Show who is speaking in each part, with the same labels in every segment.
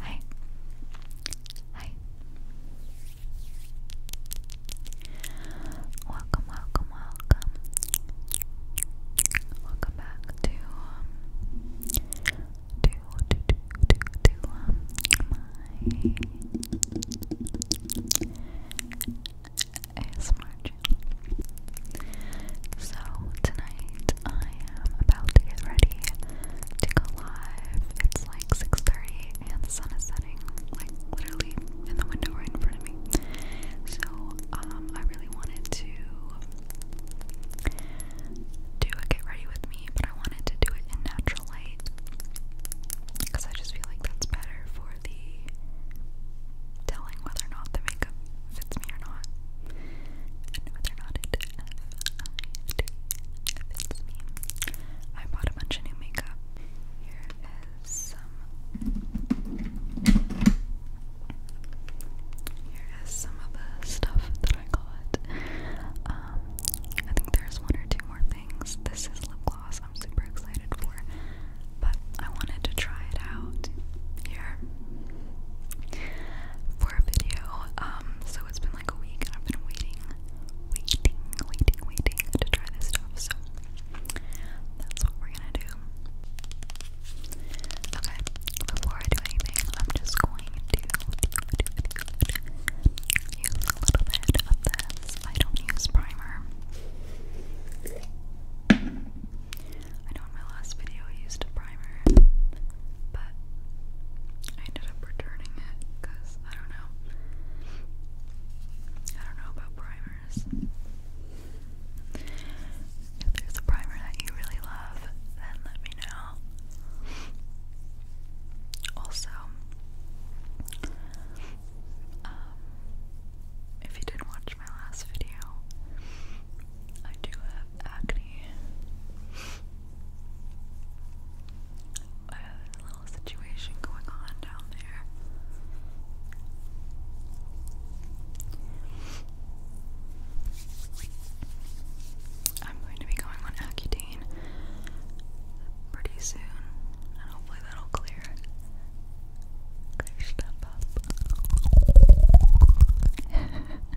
Speaker 1: Hi. Hi. Welcome, welcome, welcome. Welcome back to um to to to to, um my ASMR channel. So tonight I am about to get ready to go live. It's like 6.30 and the sun is setting, like literally in the window right in front of me. So um, I really wanted to do a get ready with me, but I wanted to do it in natural light because I just feel like that's better for the telling whether or not the makeup fits me or not. whether or not it fits me. I bought a bunch of new makeup. Here is some Here is some of the stuff that I got. Um I think there's one or two more things. This is lip gloss I'm super excited for. But I wanted to try it out here for a video. Um, so it's been like a week and I've been waiting, waiting, waiting, waiting to try this stuff. So that's what we're gonna do. Okay, before I do anything, I'm just going to use a little bit of this. I don't use primer. I know in my last video I used a primer, but I ended up returning it because I don't know. I don't know about primers. If there's a primer that you really love, then let me know. Also, um, if you did watch my last video, I do have acne. I have a little situation going on down there. I'm going to be going on Accutane pretty soon, and hopefully that'll clear clear stuff up.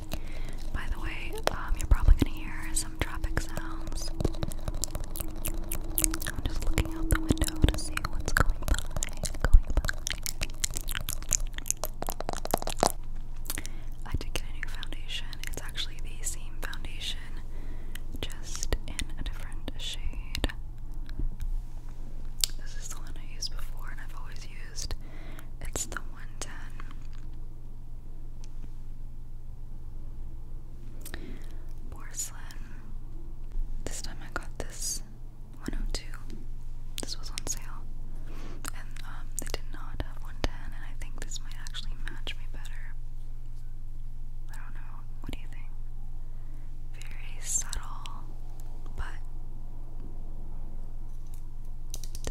Speaker 1: By the way, um, you're probably gonna hear some traffic sounds. I'm just looking out the window to see what's Going by. I did get a new foundation. It's actually the same foundation, just in a different shade. This is the one I used before, and I've always used. It's the 110. Porcelain. This time I got this 102. This was on sale. And um, they did not have 110, and I think this might actually match me better. I don't know. What do you think? Very subtle, but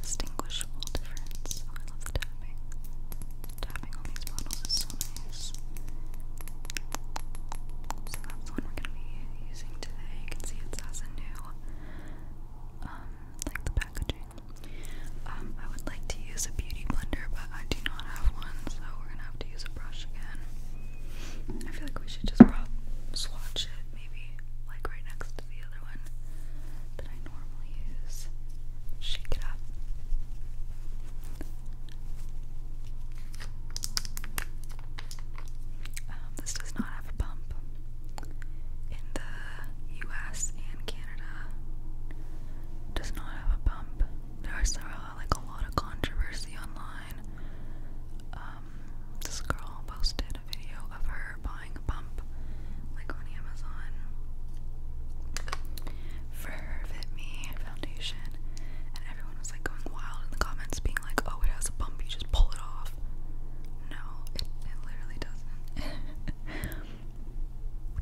Speaker 1: distinguishable actual difference. Oh, I love the tapping. Tapping on these bottles is so nice. So that's the we're gonna be using today. You can see it has new, um, like the packaging. Um, I would like to use a beauty blender, but I do not have one, so we're gonna have to use a brush again. I feel like we should just swatch it, maybe like right next to the other one that I normally use. Shake it up. Um, this does not have a pump. In the US and Canada, does not have a pump. There's uh, like a lot of controversy online. Um, this girl posted a video of her thawing pump like on Amazon for Fit Me foundation and everyone was like going wild in the comments being like oh it has a bump you just pull it off no it literally doesn't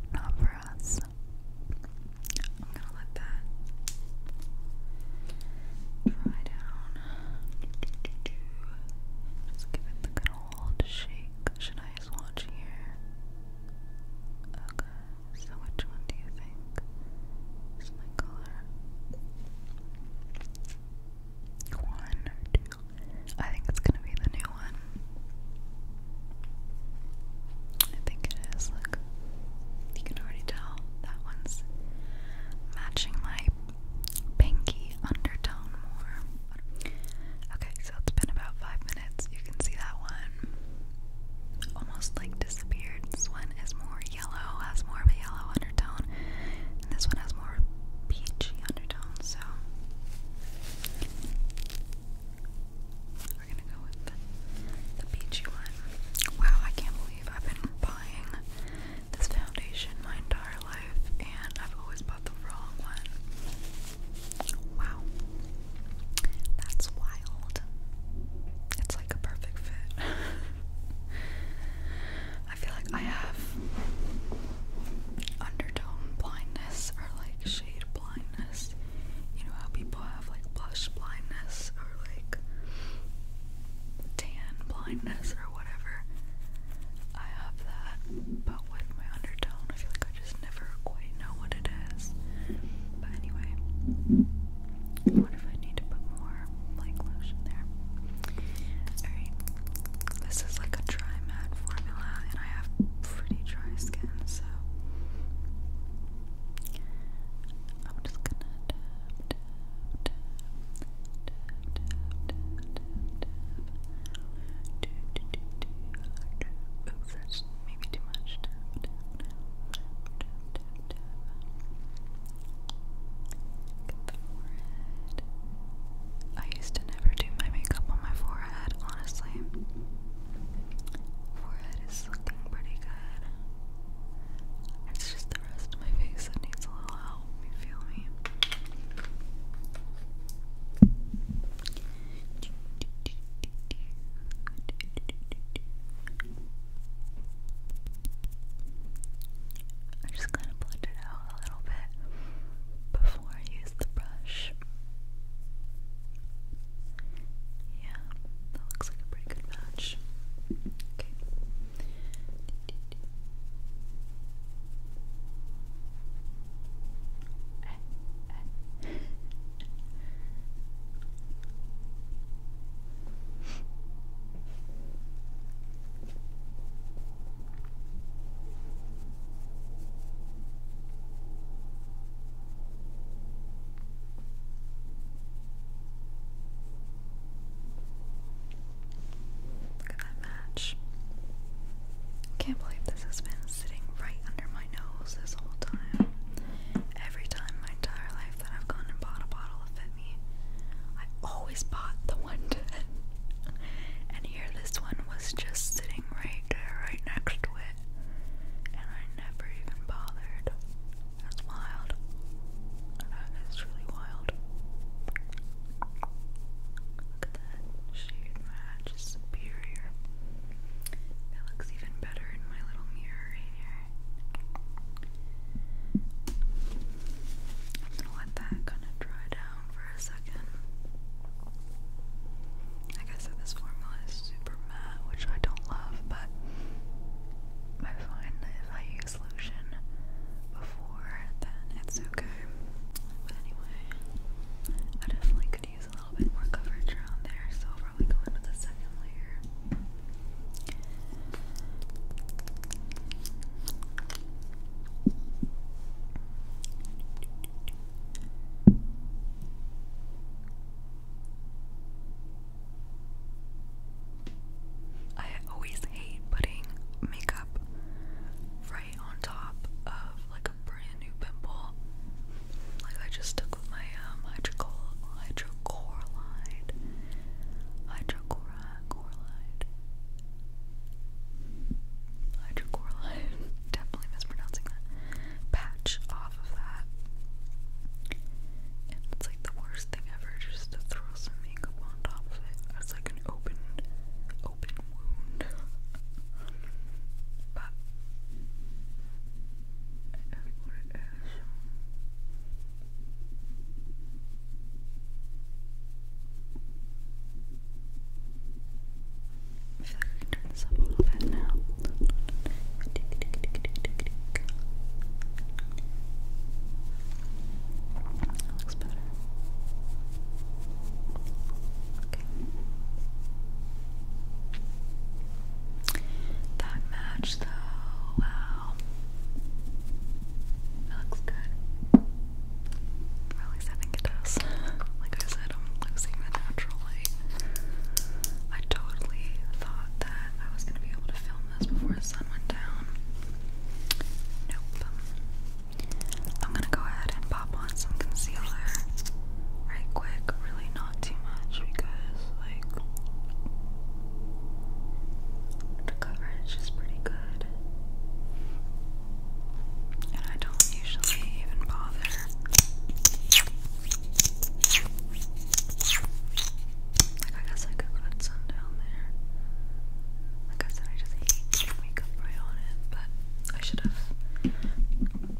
Speaker 1: not for us I'm gonna let that dry down just give it the good old shake should I nice watch here. Okay, so which one do you think is color? One or two? I think it's gonna be the new one. I think it is. Look, you can already tell that one's matching my pinky undertone more. Okay, so it's been about five minutes. You can see that one almost like disappeared. This one is more yellow, has more of a yellow undertone, and this one has more peachy undertone. So we're gonna go with the, the peachy one. Wow, I can't believe I've been buying this foundation my entire life, and I've always bought the wrong one. Wow. That's wild. It's like a perfect fit. I feel like I have undertone blindness or like shade blindness. You know how people have like blush blindness or like tan blindness or whatever. I have that, but with my undertone, I feel like I just never quite know what it is. But anyway, what if I need to put more like lotion there? Alright, this is like a dry matte formula, and I have pretty dry skin, so I'm just gonna Oops, that's maybe too much. I used to never do my makeup on my forehead, honestly. Forehead is looking pretty good. It's just the rest of my face that needs a little help. You feel me? I'm just going to blend it out a little bit before I use the brush. Yeah, that looks like a pretty good match. Okay. Look at that match. Can't believe this has been sitting right under my nose this whole time. Every time my entire life that I've gone and bought a bottle of Fit I always bought the one ten. and here this one was just sitting right right next to it. And I never even bothered. That's wild. That is really wild. Look at that shade match superior. It looks even better in my little mirror here. I'm gonna let that kind of dry down for a second. Like I said, this formula is super matte, which I don't love, but I find that if I use lotion before, then it's okay. But anyway, I definitely could use a little bit more coverage around there, so I'll probably go with a second layer. I always hate putting makeup right on top of like a brand new pimple. Like I just took with my um hydrocor hydrocorline. Hydrocora corline. Definitely mispronouncing that. Patch off of that. And it's like the worst thing ever just to throw some makeup on top of it. It's like an open open wound. but I feel like I can up a little bit now. looks better. That match though, wow. looks good. at least I think it does. like I said, I'm losing the natural light. I totally thought that I was gonna be able to film this before the sun went down. Nope. I'm gonna go ahead and pop on some concealer right quick, really not too much because like the coverage is pretty good. And I don't usually even bother I guess I could put some down there. I said, I just hate makeup right on it, but I should have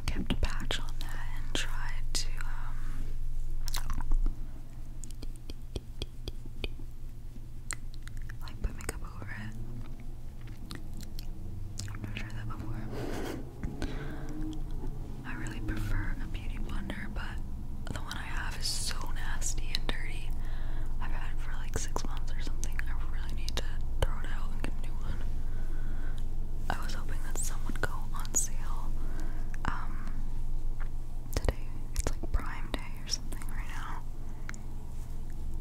Speaker 1: kept a patch on that and tried to um, like put makeup over it. I've never tried that before. I really prefer a beauty blender, but the one I have is so nasty and dirty. I've had it for like six months or something. I really need to throw it out and get a new one. I was hoping that some would go on sale um, today. It's like Prime Day or something right now.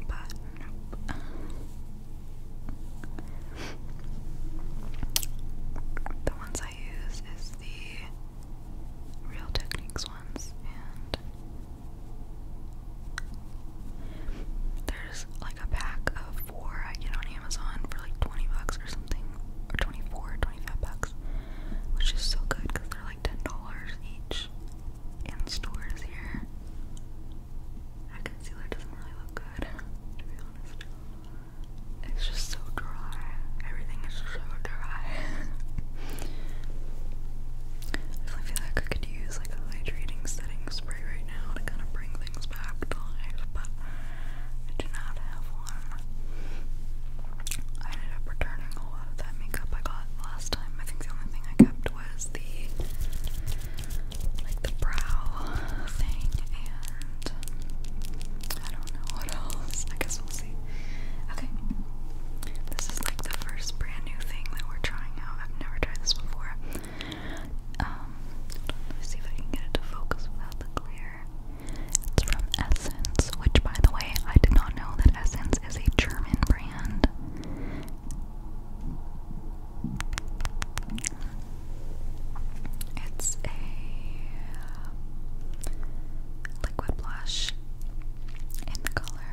Speaker 1: But the ones I use is the Real Techniques ones, and there's like a pack of four I get on Amazon for like 20 bucks or something, or 24, bucks, which is so good because they're like $10 each in stores here. That concealer doesn't really look good, to be honest. It's just so dry. Everything is so dry. definitely feel like I could use like a hydrating setting spray right to kind of bring things back to life, but I do not have one. I ended up returning a lot of that makeup I got last time. I think the only thing I kept was the like the brow thing and I don't know what else. I guess we'll see. Okay. This is like the first brand new thing that we're trying out. I've never tried this before. Um, let me see if I can get it to focus without the glare. It's from Essence, which, by the way, I did not know that Essence is a German brand. It's a uh, liquid blush in the color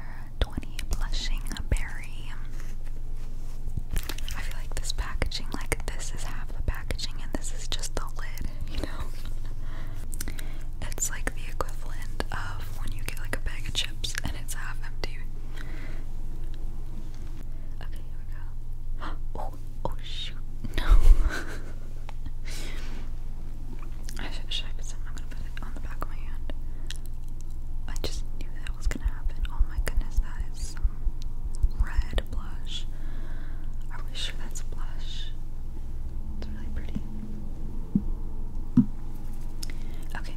Speaker 1: 20 Blushing Berry. I feel like this packaging, like this is half the packaging and this is just the lid, you know? It's like the equivalent of when you get like a bag of chips and it's half empty. Okay, here we go. Oh, oh shoot, no. I should, should I put some? I'm gonna put it on the back of my hand. I just knew that was Oh my goodness, that is some red blush. Are we sure that's blush? It's really pretty. Okay.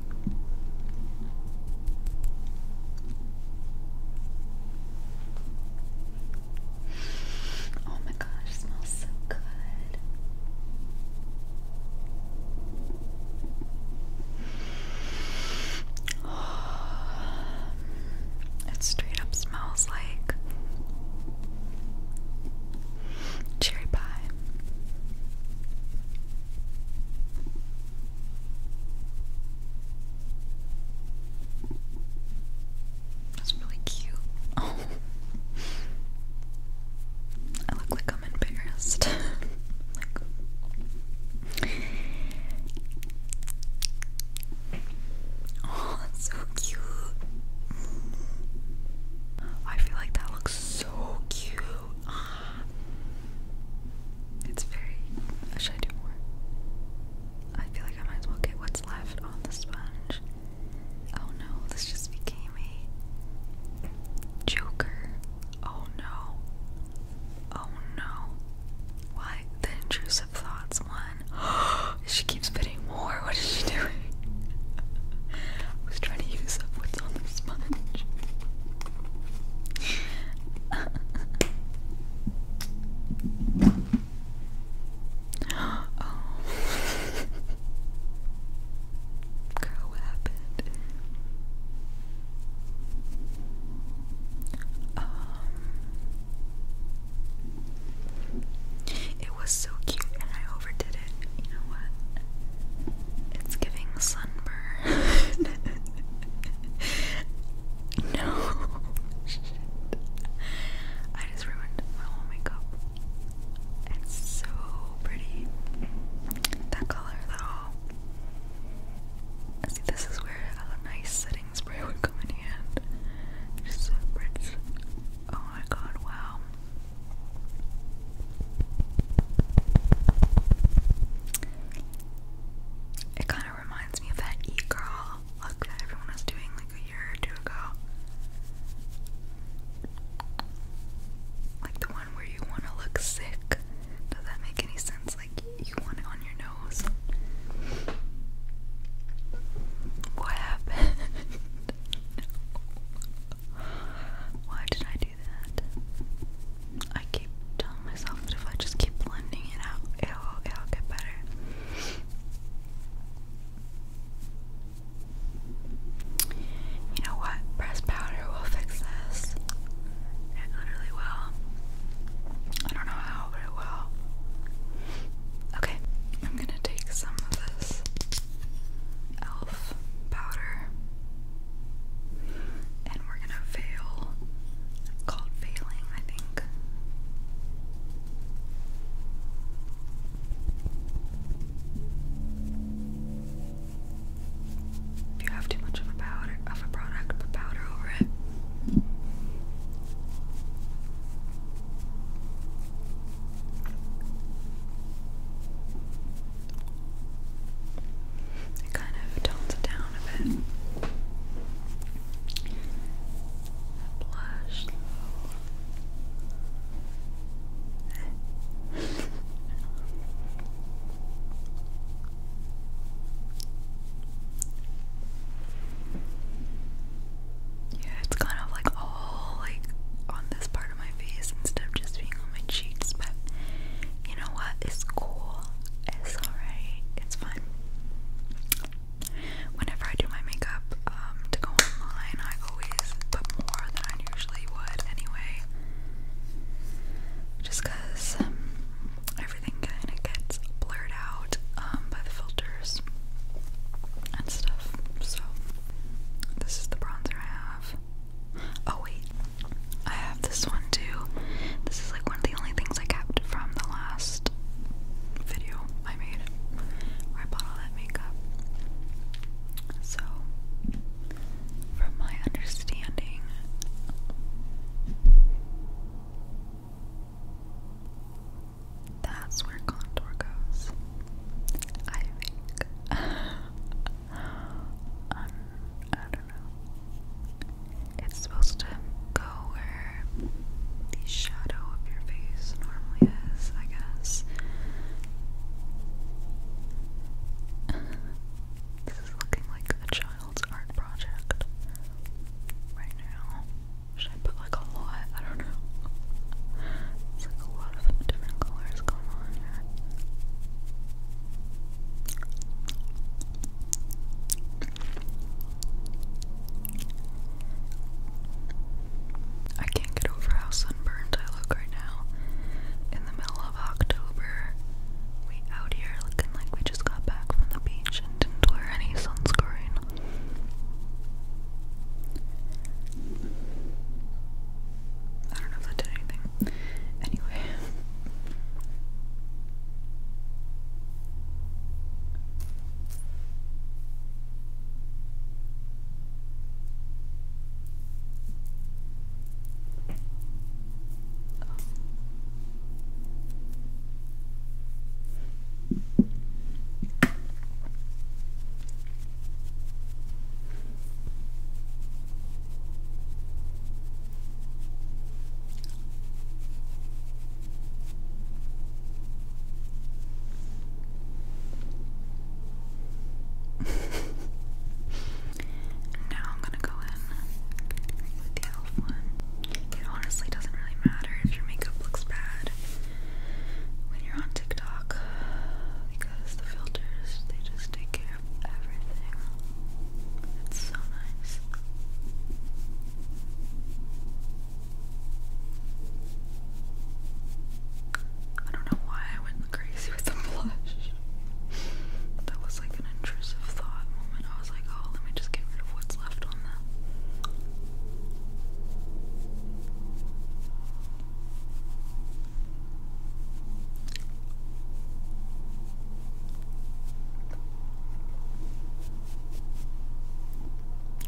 Speaker 1: Oh my gosh, smells so good. It straight up smells like cherry pie. That's really cute. Oh. I look like I'm embarrassed. like, Oh, so cute. I feel like that looks so cute. It's very. Uh, should I do more? I feel like I might as well get what's left on the sponge. Oh no, this just became a joker. Oh no. Oh no. Why? The intrusive thoughts one. she keeps bidding more. What is she doing? I was trying to use up what's on the sponge. oh. Girl, what happened? Um, it was so cute and I overdid it. You know what? It's giving sunburn. no. Shit. I just ruined my whole makeup. It's so pretty. That color though. See, this is where a nice setting spray would come in hand. It just separates. Oh my god, wow. It kind of reminds me of that e girl look that everyone was doing like a year or two ago. Like the one where you want to look sick. Does that make any sense? Like you want it on your nose. What happened? Why did I do that? I keep telling myself that if I just keep blending it out, it'll, it'll get better. You know what? Press powder will fix this. It went well. I don't know how, but it will. Okay, I'm gonna take some of this elf powder and we're gonna veil. called veiling, I think. If you have too much of a powder of a product, put powder over it. It kind of tones it down a bit. Blush Yeah, it's kind of like all like on this part of my face instead of just being on my cheeks, but you know what? It's cool. It's alright. It's fun. Whenever I do my makeup um, to go online, I always put more than I usually would anyway. Just because um, everything kind of gets blurred out um, by the filters and stuff. So, this is the bronzer I have. Oh, wait, I have this one too. This is like one of the only things I kept from the last video I made where I bought all that makeup. So, from my understanding, that's where contour goes. I think. Um, I don't know. It's supposed to go where the shadow of your face normally is, I guess. this is looking like a child child's art project right now. Should I put like a lot? I don't know. It's like a lot of different colors going on I can't get over how sunburned I look right now. In the middle of October, we out here looking like we just got back from the beach and didn't wear any sunscreen. I don't know if that did anything. Anyway now I'm gonna go in with the elf one. It honestly doesn't really matter if your makeup looks bad when you're on TikTok because the filters they just take care of everything. It's so nice. I don't know why I went crazy with the blush. That was like an intrusive thought moment. I was like, oh, let me just get rid of what's left on that.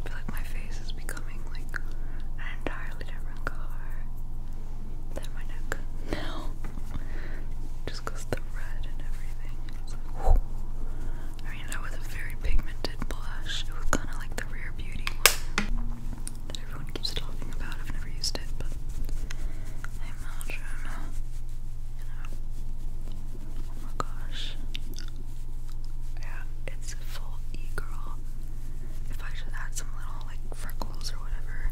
Speaker 1: I feel like my face is becoming like an entirely different color than my neck now. Just the red and everything. I was a very pigmented blush. It was kind of like the Rare Beauty one that everyone keeps talking about. I've never used it, but I'm You know. Oh my gosh. Yeah, it's a full e-girl. If I should add some little like freckles or whatever.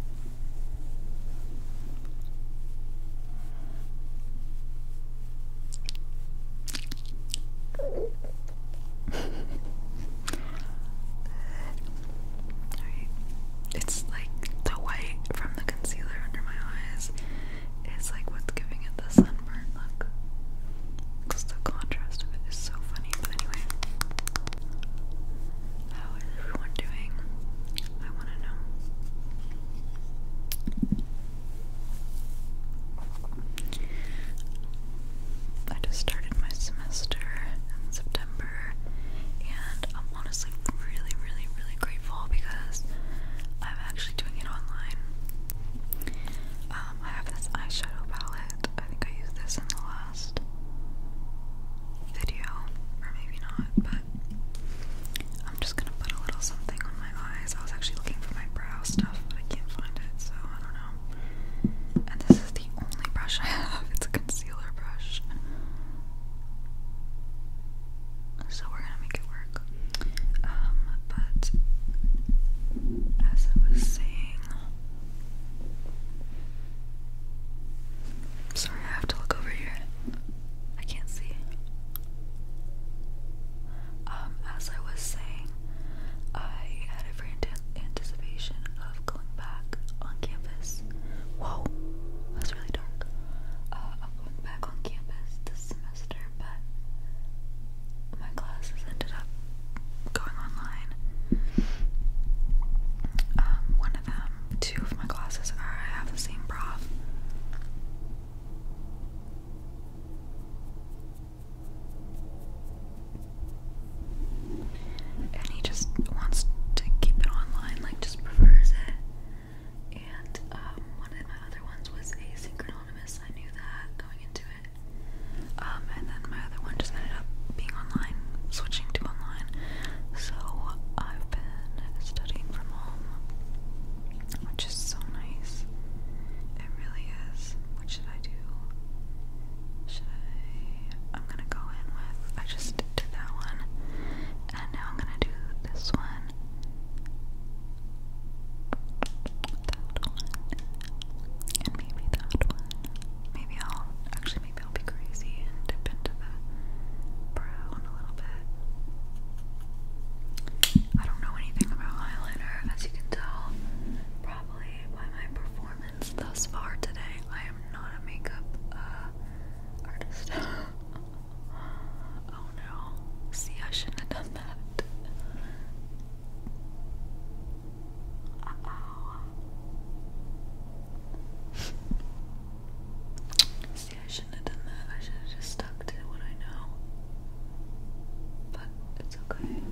Speaker 1: It's like the white from the concealer under my eyes is like what's giving it the sunburn look. Because the contrast of it is so funny. But anyway. How is everyone doing? I wanna know. I just started my semester in September, and I'm honestly really, really, really grateful because I'm actually doing it online. Um, I have this eyeshadow palette. I think I used this in the last video, or maybe not, but I'm just gonna put a little something on eyes. I was actually looking for my brow stuff, but I can't find it, so I don't know. And this is the only brush I have. It's a concealer brush. So we're gonna make it work. Um, but as I was saying, sorry, I have to look over here. I can't see. Um, as I was saying, I had a every anticipation of going back on campus. Whoa, that's really dark. Uh, going back on campus this semester, but my classes ended up going online. Um, one of them, two of my classes I have the same prof. And he just wants to keep it online, like just prefers it. And um, one of my other ones was asynchronous. I knew that going into it. Um, and then my other one just ended up being online, switching to online. So I've been studying from home which is so nice. It really is. What should I do? Should I? I'm gonna go in with. I just did that one, and now I'm gonna do this one. That one, and maybe that one. Maybe I'll actually maybe I'll be crazy and dip into the brown a little bit. I don't know anything about eyeliner, as you can tell probably by my performance thus far today. I am not a makeup uh, artist. oh no. See, I shouldn't have done that. Uh See, I I should have just stuck to what I know. But it's okay.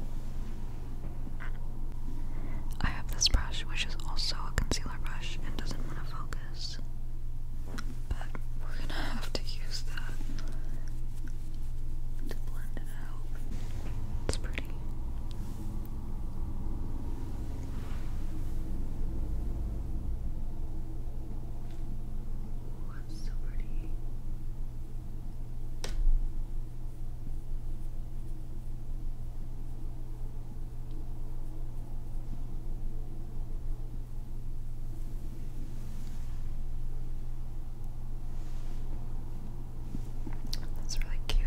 Speaker 1: I have this brush, which is also a concealer brush and doesn't want to focus. But we're gonna have to use that to blend it out. It's pretty so pretty. That's really cute.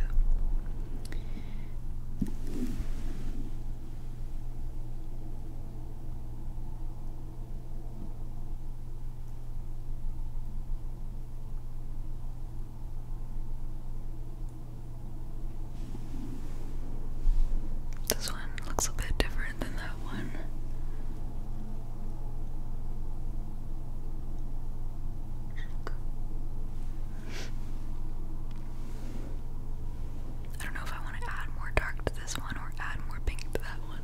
Speaker 1: This one looks a bit different than that one. I don't know if I want to add more dark to this one or add more pink to that one.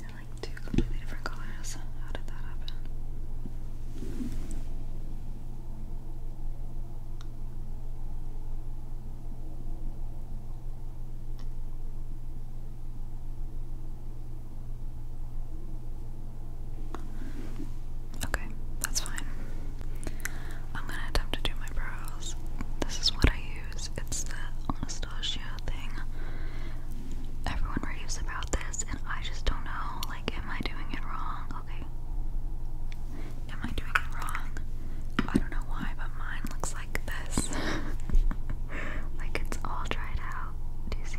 Speaker 1: They're like two completely different colors. How did that happen? Okay, that's fine. I'm gonna attempt to do my brows. This is what I use. It's the Anastasia thing. Everyone raves about this, and I just don't know. Like, am I doing it wrong? Okay. Am I doing it wrong? I don't know why, but mine looks like this. like, it's all dried out. Do you see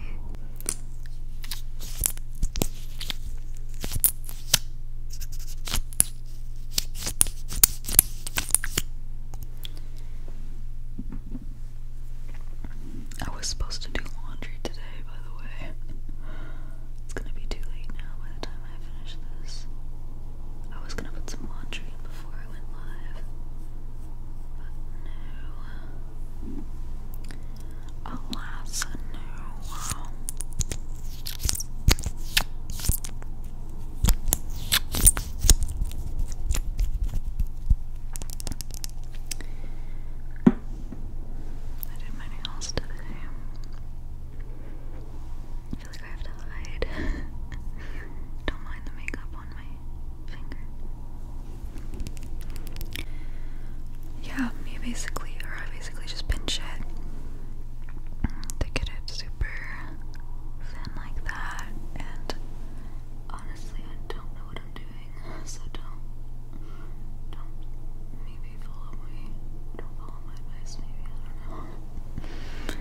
Speaker 1: I was supposed to do laundry today, by the way. It's gonna be too late now by the time I finish this. I was gonna put some laundry before I went live. But no. Alas, no. I did my nails today. I feel like I have to hide. Don't mind the makeup on my finger. Yeah, me basically, or I basically just pinch it to get it super like that, and honestly, I don't know what I'm doing, so don't, don't, maybe follow me, don't follow my advice, maybe, I don't know.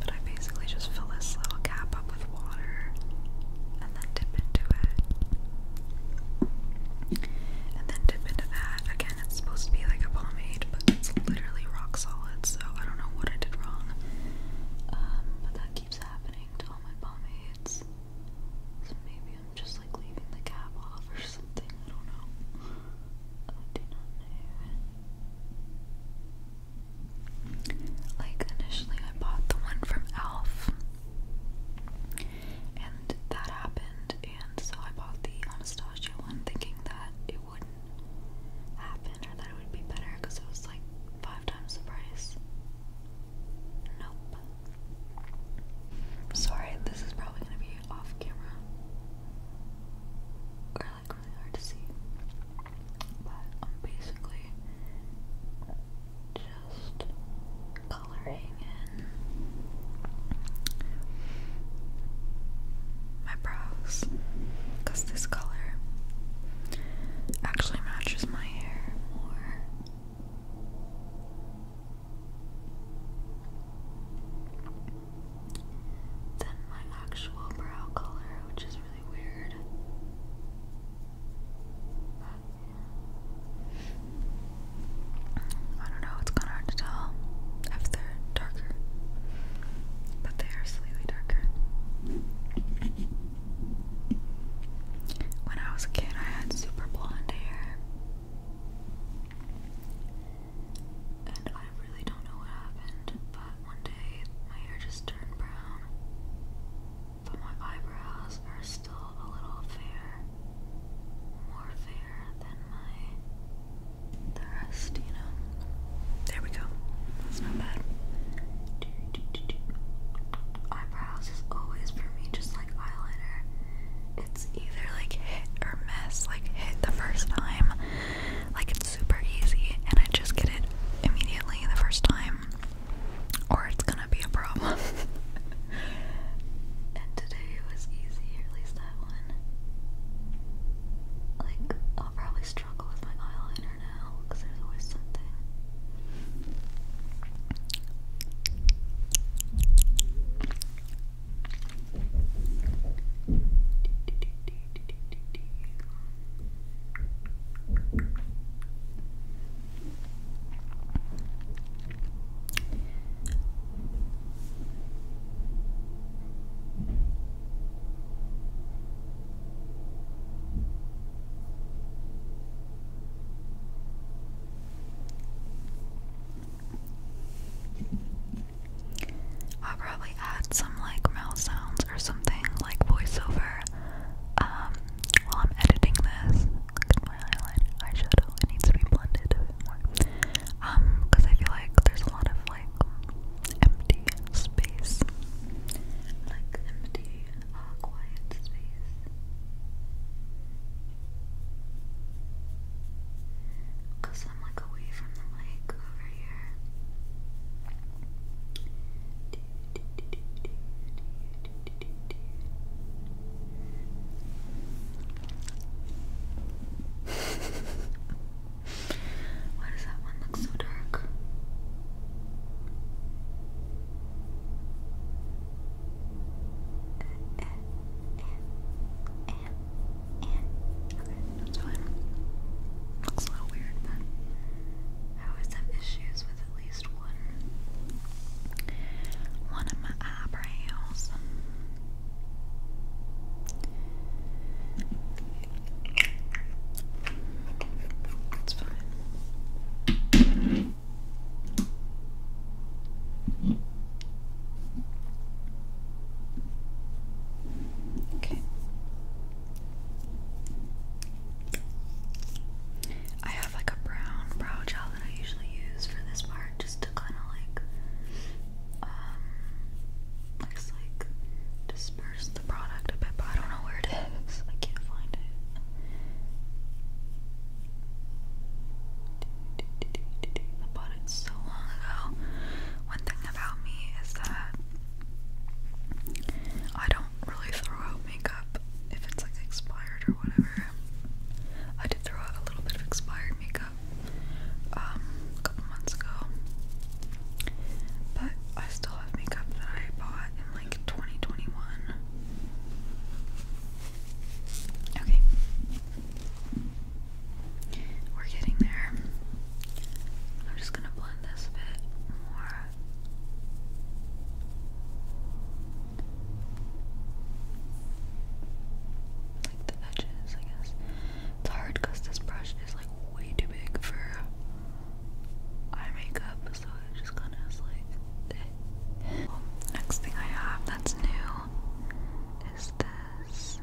Speaker 1: But I basically just fill this little cap up with water and then dip into it. And then dip into that again it's supposed to be like a pomade, but it's literally rock solid, so I don't know what I did wrong. Um, but that keeps happening to all my pomades. So maybe I'm just like leaving the cap off or something, I don't know. Oh, I do not know. Like, initially, I bought the one from e.l.f. And that happened, and so I bought the Anastasia one thinking that it wouldn't happen or that it would be better because it was like five times the price. Nope. Sorry, this is probably gonna be off camera or like really hard to see, but I'm basically just coloring in my brows because this color actually matches my hair more. Than my actual brow color, which is really weird. I don't know, it's kind of hard to tell if darker, but they are slightly darker. When I was a kid, I had super blonde hair, and I really don't know what happened, but one day my hair just turned brown, but my eyebrows are still a little fair, more fair than my the rest, you know. There we go. That's not bad. Eyebrows is always for me just like eyeliner. It's either like hit or miss, like hit the first time. Like it's super easy and I just get it immediately the first time. Or it's gonna be a problem. and today was easy, at least that one. Like I'll probably struggle with my eyeliner now because there's always something. I'll probably add some like mouth sounds or something like voiceover um, while I'm editing this. Look at my eyeliner, it needs to be blended more. because um, I feel like there's a lot of like empty space. Like empty, uh, quiet space. Because I'm like away from the mic over here. Why does that one look so dark? Okay, that's fine. Looks a little weird, but I always have issues with at least one one of my eyebrows. It's fine. Okay. I have like a brown brow gel that I usually use for this part just to kind of like um, like disperse the product a bit, but I don't know where it is. I can't find it. I bought it so long ago. One thing about me is that I don't really throw out makeup if it's like expired or whatever. I did throw out a little bit of expired makeup um, a couple months ago. But I still have makeup that I bought in like 2021. Okay. We're getting there. I'm just gonna blend this a bit more. Like the edges, I guess. It's hard because this brush is like way too big for eye makeup, so it just kind of like. Eh. next thing I have that's new is this.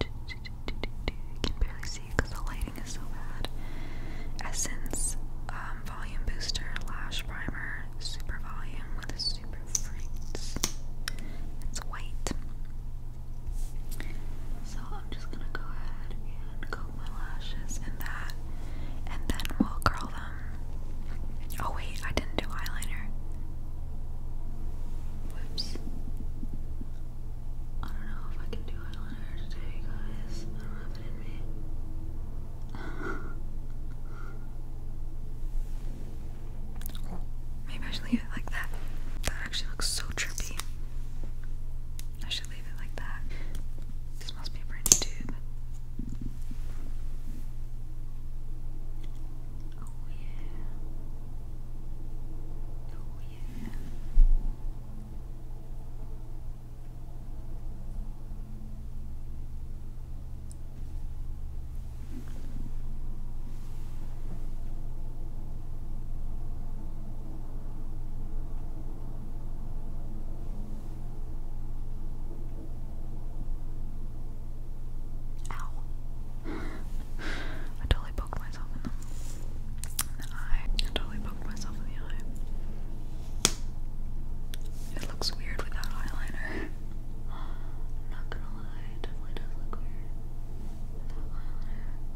Speaker 1: can barely see because the lighting is so bad. Essence um, Volume Booster Lash Primer Super Volume with a Super It's white. So I'm just gonna go ahead and comb my lashes in that, and then we'll curl them. Oh wait, I didn't do eyeliner. Whoops. I don't know if I can do eyeliner today, guys. I don't me. Maybe I should leave it like That actually looks so trippy. I should leave it like that. This must be a brand new tube. Oh yeah. Oh yeah. Ow. I totally poked myself in the, eye. I totally poked myself in the eye. It looks weird without eyeliner. not gonna lie, it definitely does look weird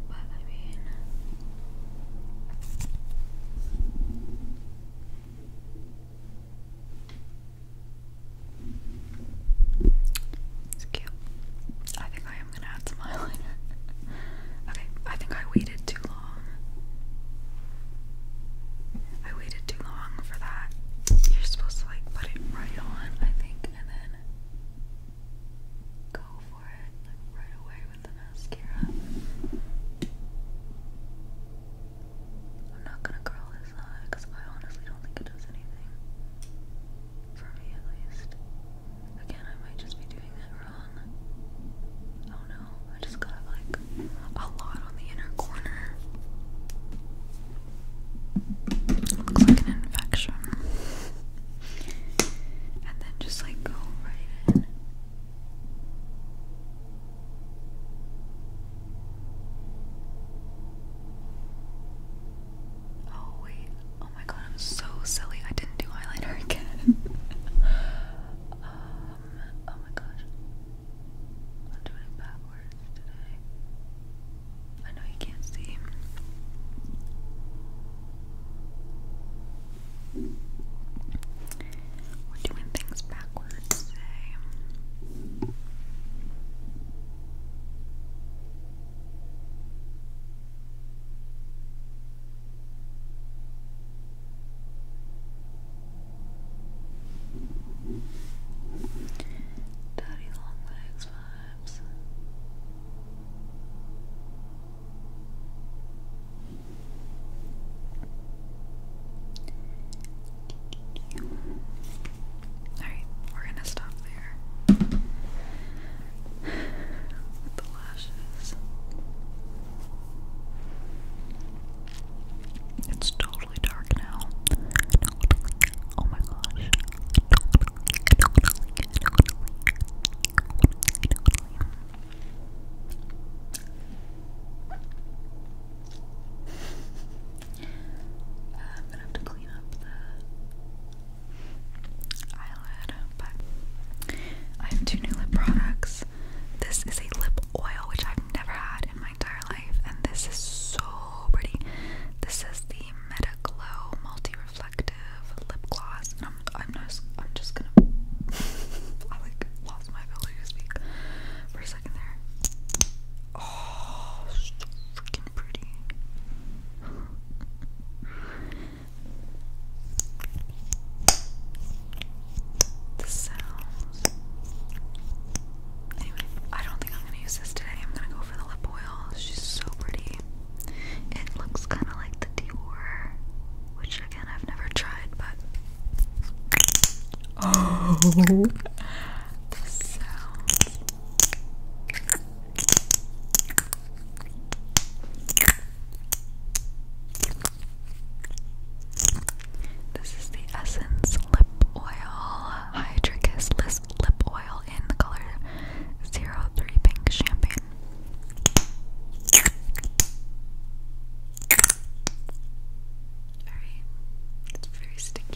Speaker 1: but I mean, it's cute. I think I am gonna add some eyeliner. okay, I think I waited too long. I waited too long for that. You're supposed to like put it right on, I think, and then go for it right away with the mascara. I'm not gonna curl this eye because I honestly don't think it does anything. For me at least. Again, I might just be doing that wrong. Oh no, I just got like a lot on the inner corner. looks like an infection and then just like go right in. Oh wait, oh my god, I'm so silly. I didn't do eyeliner again. Um, oh my gosh. I'm doing backwards today. I know you can't see. We're doing things backwards today. Daddy long vibes. Alright, we're gonna stop there. the lashes. It's totally dark now. Oh my gosh. I'm gonna have to clean up the eyelid, but I have two new lip products. This is a lip oil, which I've never had in my entire life, and this is so pretty. This is the Meta Glow Multi reflective lip gloss, and I'm just gonna I like lost my ability to speak for a second there. Oh, so freaking pretty. The sounds. I don't think I'm gonna use this today. I'm gonna go for the lip oil. She's so pretty. It looks kind of like the Dior, which again I've never tried, but oh, This is the Essence Lip Oil Hydra Lip Oil in the color zero three Pink Champagne very, it's very sticky.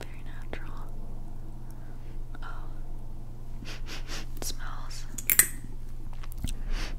Speaker 1: Very natural. Oh, smells.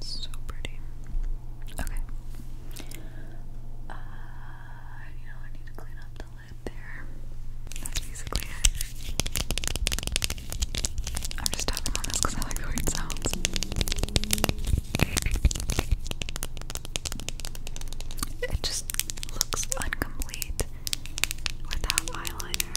Speaker 1: So pretty. Okay. Uh, you know, I need to clean up the lid there. That's basically it. I'm just tapping on this because I like the way sounds. It just looks incomplete without eyeliner.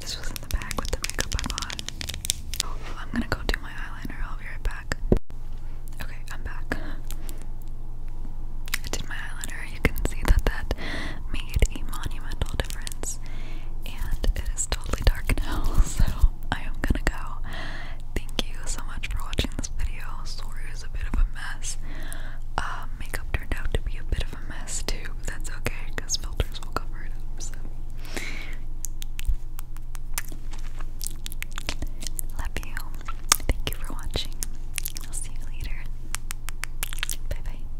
Speaker 1: This was in the bag with the makeup I bought. I'm gonna go do my eyeliner. I'll be right back. Okay, I'm back. I did my eyeliner. You can see that that made a monumental difference and it is totally dark now, so I am gonna go. Thank you so much for watching this video. Sorry it was a bit of a mess. Um, makeup turned out to be a bit of a mess too, but that's okay because filters will cover it up. love you. Thank you for watching. I'll see you later. Bye bye.